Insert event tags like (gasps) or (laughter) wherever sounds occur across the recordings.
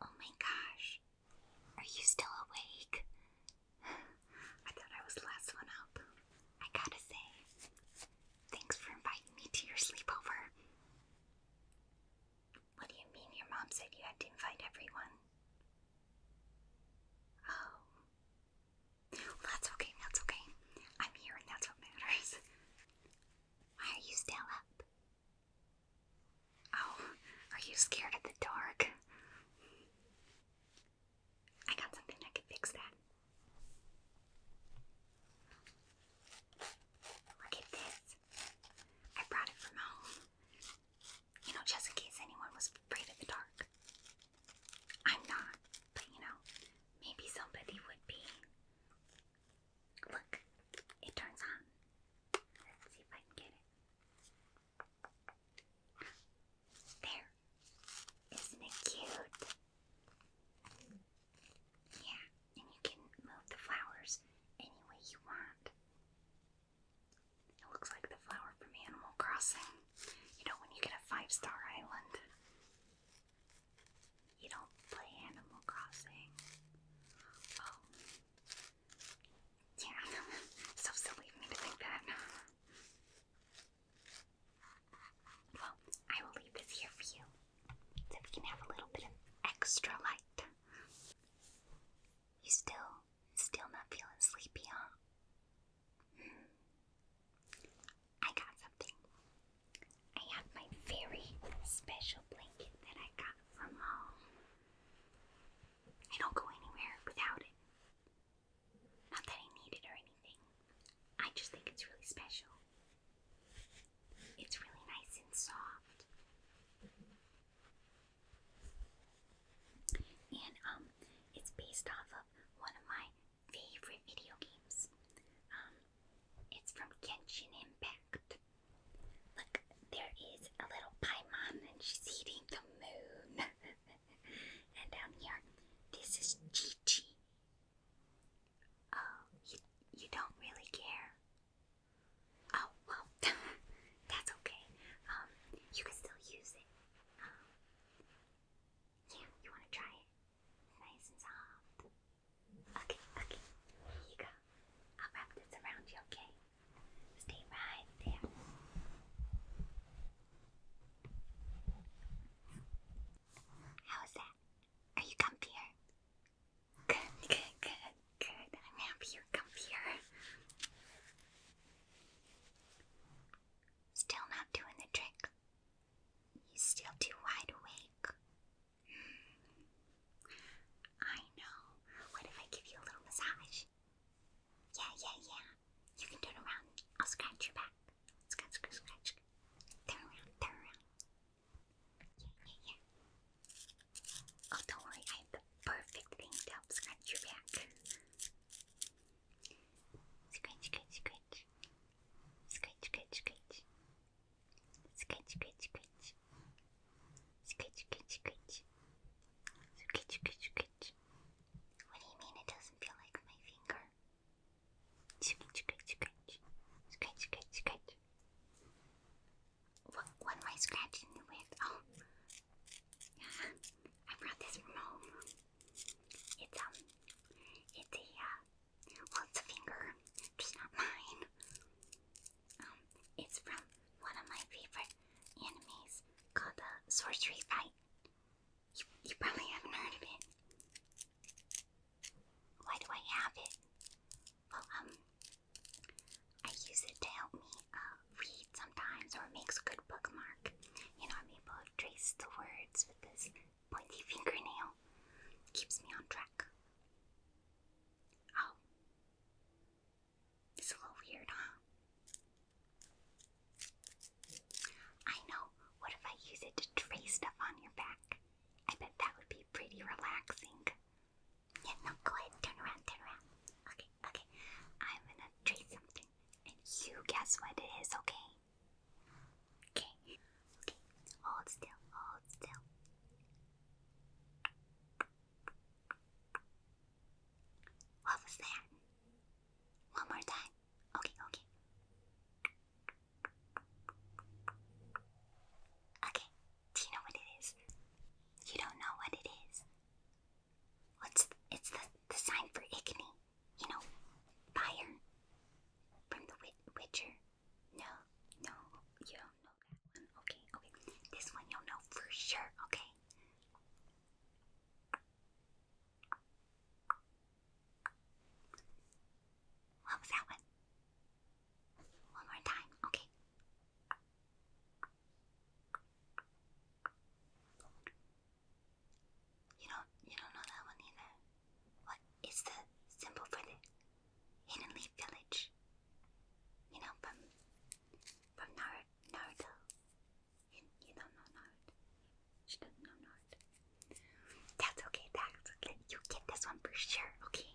Oh my gosh, are you still awake? (sighs) I thought I was the last one up. I gotta say, thanks for inviting me to your sleepover. What do you mean your mom said you had to invite everyone? Oh. Well, that's okay, that's okay. I'm here and that's what matters. Why are you still up? Oh, are you scared of the dark? I got something that can fix that. Look at this. I brought it from home. You know, just in case anyone was afraid of the dark. I'm not, but you know, maybe somebody would be. Look, it turns on. Let's see if I can get it. There. Isn't it cute? Yeah, and you can move the flowers any way you want. It looks like the flower from Animal Crossing. You know, when you get a five star island, you don't play Animal Crossing. Oh. Yeah, (laughs) so silly of me to think that. Well, I will leave this here for you so we can have a little bit of extra light. You still, still not feeling sleepy, huh? Hmm. I got something. I have my very special blanket that I got from home. I don't go anywhere without it. Not that I need it or anything, I just think it's really special. It's really nice and soft. And um, it's based off of one of my favorite video games. Um, it's from Kenshin Impact. Look, there is a little Paimon and she's eating the moon. (laughs) and down here, this is chi Oh, you, you don't really care? Oh, well, (laughs) that's okay. Um, you can still use it. Um, yeah, you want to try Nice and soft. Okay, okay. Here you go. I'll wrap this around you, okay? Stay right there. How is that? Are you comfier? Good, good, good, good. I'm happy you're comfier. Still not doing the trick. He's still too wide awake. I know. What if I give you a little massage? Yeah, yeah, yeah. You can turn around. I'll scratch your back. Scratch, scratch, scratch. Turn around, turn around. Yeah, yeah, yeah. Oh, don't worry. I have the perfect thing to help scratch your back. Scratch, scratch, scratch. Scratch, scratch, scratch. Scratch, scratch, scratch. Scratch, scratch, scratch. Scratch, scratch, scratch. What do you mean it doesn't feel like my finger? Scratch, scratch, scratch. Scratch, scratch, scratch. What, what am I scratching with? Oh. (laughs) I brought this from home. It's um, it's a uh, it's a finger, just not mine. Um, it's from one of my favorite animes called The uh, Sorcery Fight. You, probably haven't heard of it. Why do I have it? Well, um, I use it to help me uh, read sometimes, or it makes a good bookmark. You know, I'm able to trace the words with this pointy fingernail keeps me on track. Oh. It's a little weird, huh? I know. What if I use it to trace stuff on your back? I bet that would be pretty relaxing. Yeah, no, go ahead. Turn around, turn around. Okay, okay. I'm gonna trace something. And you guess what it is, okay? Okay. Okay. Hold still. Hold still. What was One more time. Okay. Okay. Okay. Do you know what it is? You don't know what it is. What's it's the the sign for ichne? you know, Byron from The Witcher. No, no, you don't know that one. Okay, okay. This one you'll know for sure, okay? What was that one? One more time, okay. You don't you don't know that one either. What is the symbol for the Hidden Leaf Village? You know, from from Nar Naruto. You, you don't She doesn't know Naruto. That's okay. That's okay. You get this one for sure. Okay.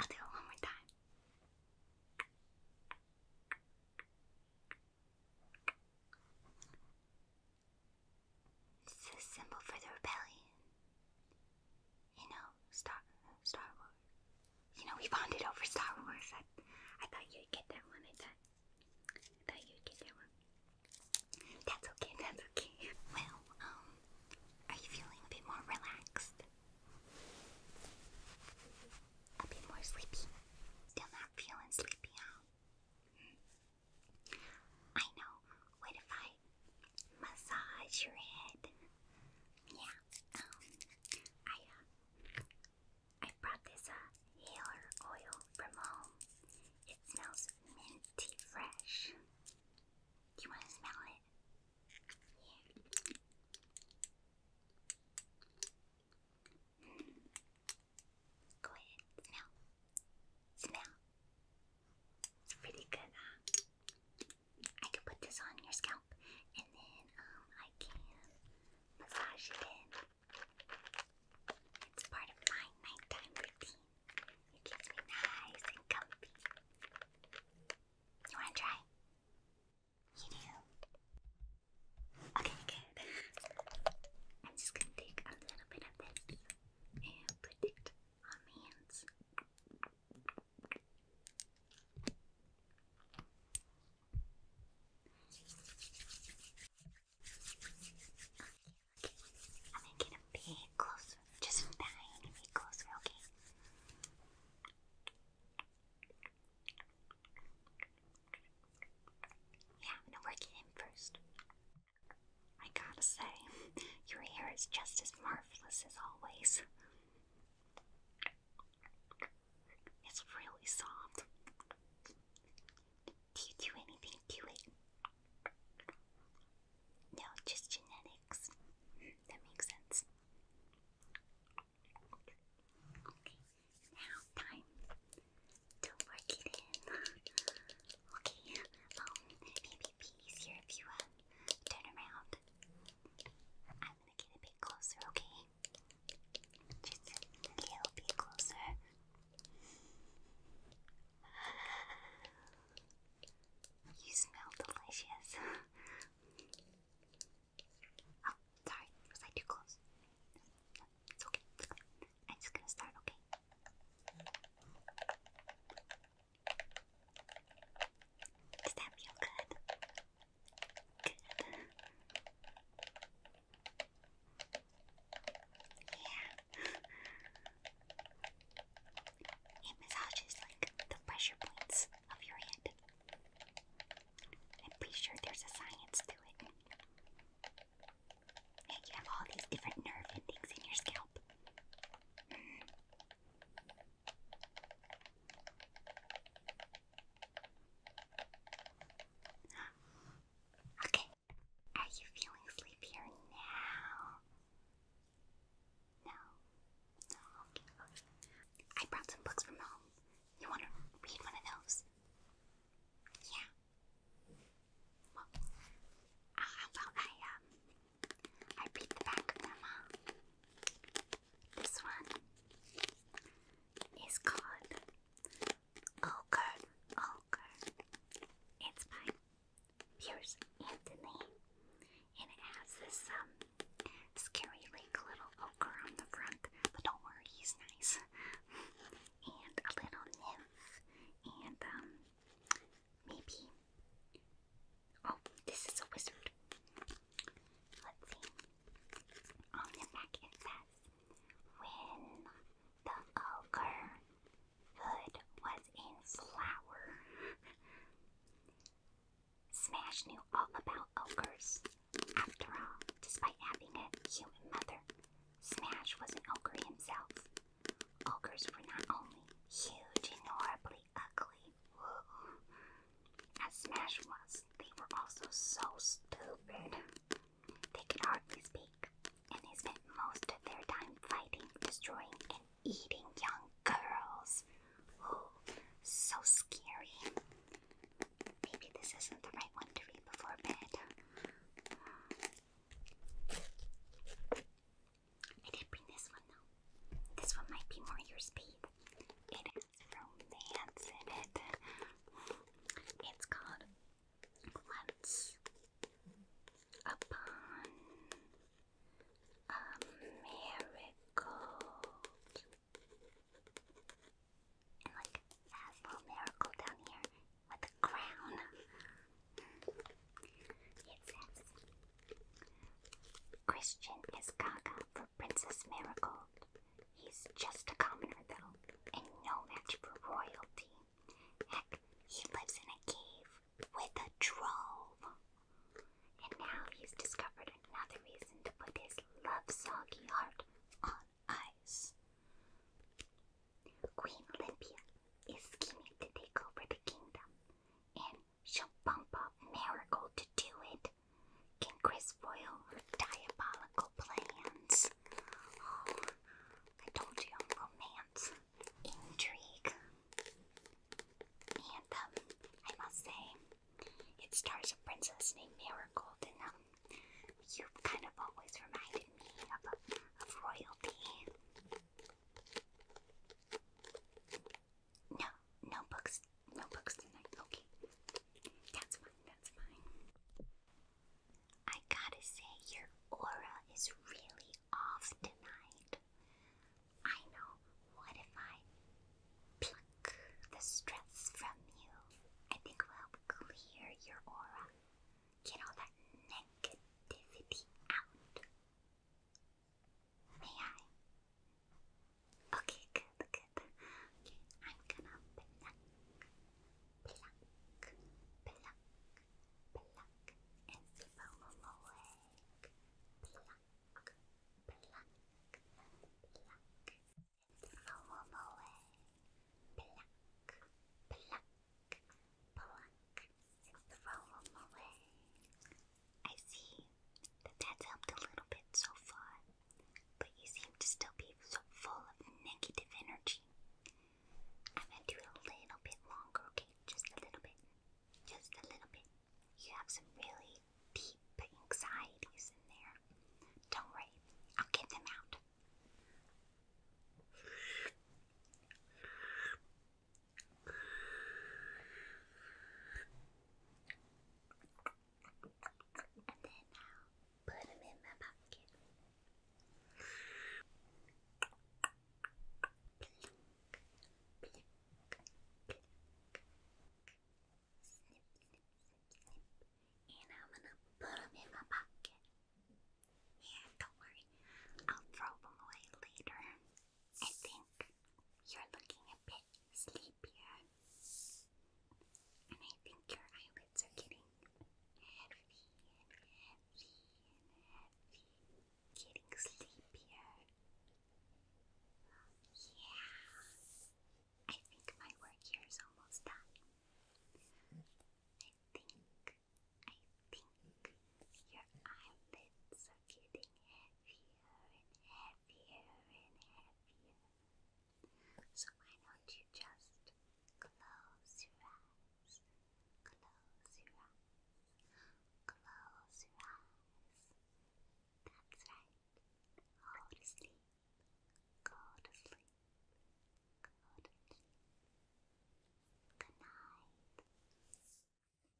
I'll do it one more time. It's a symbol for the rebellion. You know, Star Star Wars. You know, we bonded over Star Wars. I, I thought you'd get that one. I thought, I thought you'd get that one. That's okay. That's okay. (laughs) Well, um, are you feeling a bit more relaxed? A bit more sleepy. Still not feeling sleepy, huh? Mm. I know. What if I massage your head? Yeah. Um. I uh, I brought this uh healer oil from home. It smells minty fresh. you want to smell it? Go ahead, smell. Smell. It's pretty good, I can put this on your scalp and then um I can massage it in. It's part of my nighttime routine. It keeps me nice and comfy. You wanna try? Okay, good. I'm just gonna take a little bit of this and put it on hands. Okay, I'm gonna get a bit closer, just from a bit closer, Okay, yeah, I'm going in first. I gotta say, (laughs) your hair is just as marvelous as always. It's really soft. Do you do anything to it? No, just genetics. Hmm, that makes sense. Okay, now time to work it in. okay, um, maybe easier if you uh, turn around. I'm gonna get a bit closer, okay? Just a little bit closer. (laughs) You smell delicious. (laughs) Oh, sorry, was I too close? it's okay, it's okay. I'm just gonna start, okay? Does that feel good? Good. Yeah. It massages like the pressure points of your head. I'm pretty sure there's a science to it. you have all these different nerve endings in your scalp. (gasps) Okay. Are you feeling sleepier now? No. No, okay, I brought some books from home. You want to read one of those? Yeah. Well, uh, I, um, I read the back of them, This one is called Ogre, Ogre. It's by Pierce Anthony and it has this um, scary like little ogre on the front, but don't worry, he's nice. (laughs) and a little nymph, and um, maybe oh this is a wizard. Let's see. On the back it says when the ogre hood was in flower Smash knew all about ogres. After all, despite having a human mother, Smash was an ogre himself. Ogres were not only huge and horribly ugly, as Smash was, they were also so stupid. They could hardly speak, and they spent most of their time fighting, destroying, and eating young girls. Oh, so scary. Maybe this isn't the right one to read before bed. I did bring this one though. This one might be more your speed. It has romance in it. It's called Once Upon a miracle. And like has a little miracle down here with a crown. It says Christian is gaga for Princess Miracle. He's just a commoner though, and no match for royalty. Heck, he lives in a cave with a drove. And now he's discovered another reason to put his love soggy heart on ice. Queen Olympia is scheming to take over the kingdom, and she'll bump up Miracle to do it. Can Chris foil her diabolical plans? (gasps) I told you romance intrigue. And um, I must say, it stars a princess named Marigold, and um, you kind of always reminded me of, of royalty. No, no books, no books tonight. Okay, that's fine, that's fine. I gotta say, your aura is really off tonight. I know. What if I pluck the stress from you? I think it will help clear your aura. Get all that negativity out. May I? Okay, good, good. I'm gonna pluck, pluck, pluck, pluck, and sip them away pluck, pluck, pluck. And way. Pluck, pluck, pluck. And throw I see that that's helped a little bit so far, but you seem to still be so full of negative energy. I'm gonna do a little bit longer, okay? Just a little bit. Just a little bit. You have some really deep anxieties in there. Don't worry, I'll get them out. And then I'll put them in my bucket. And I'm gonna put them in my pocket. Yeah, don't worry. I'll throw them away later. I think you're looking a bit sleepier. And I think your eyelids are getting heavy and heavy and heavy getting sleepier. Yeah, I think my work here is almost done. I think, I think your eyelids are getting heavier and heavier and heavier. So why don't you just close your eyes? Close your eyes. Close your eyes. That's right. Go to sleep. Go to sleep. Go to sleep. Good night.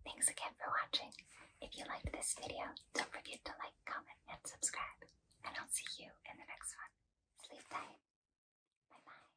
Thanks again for watching. If you liked this video, don't forget to like, comment, and subscribe. And I'll see you in the next one. Sleep tight. Bye bye.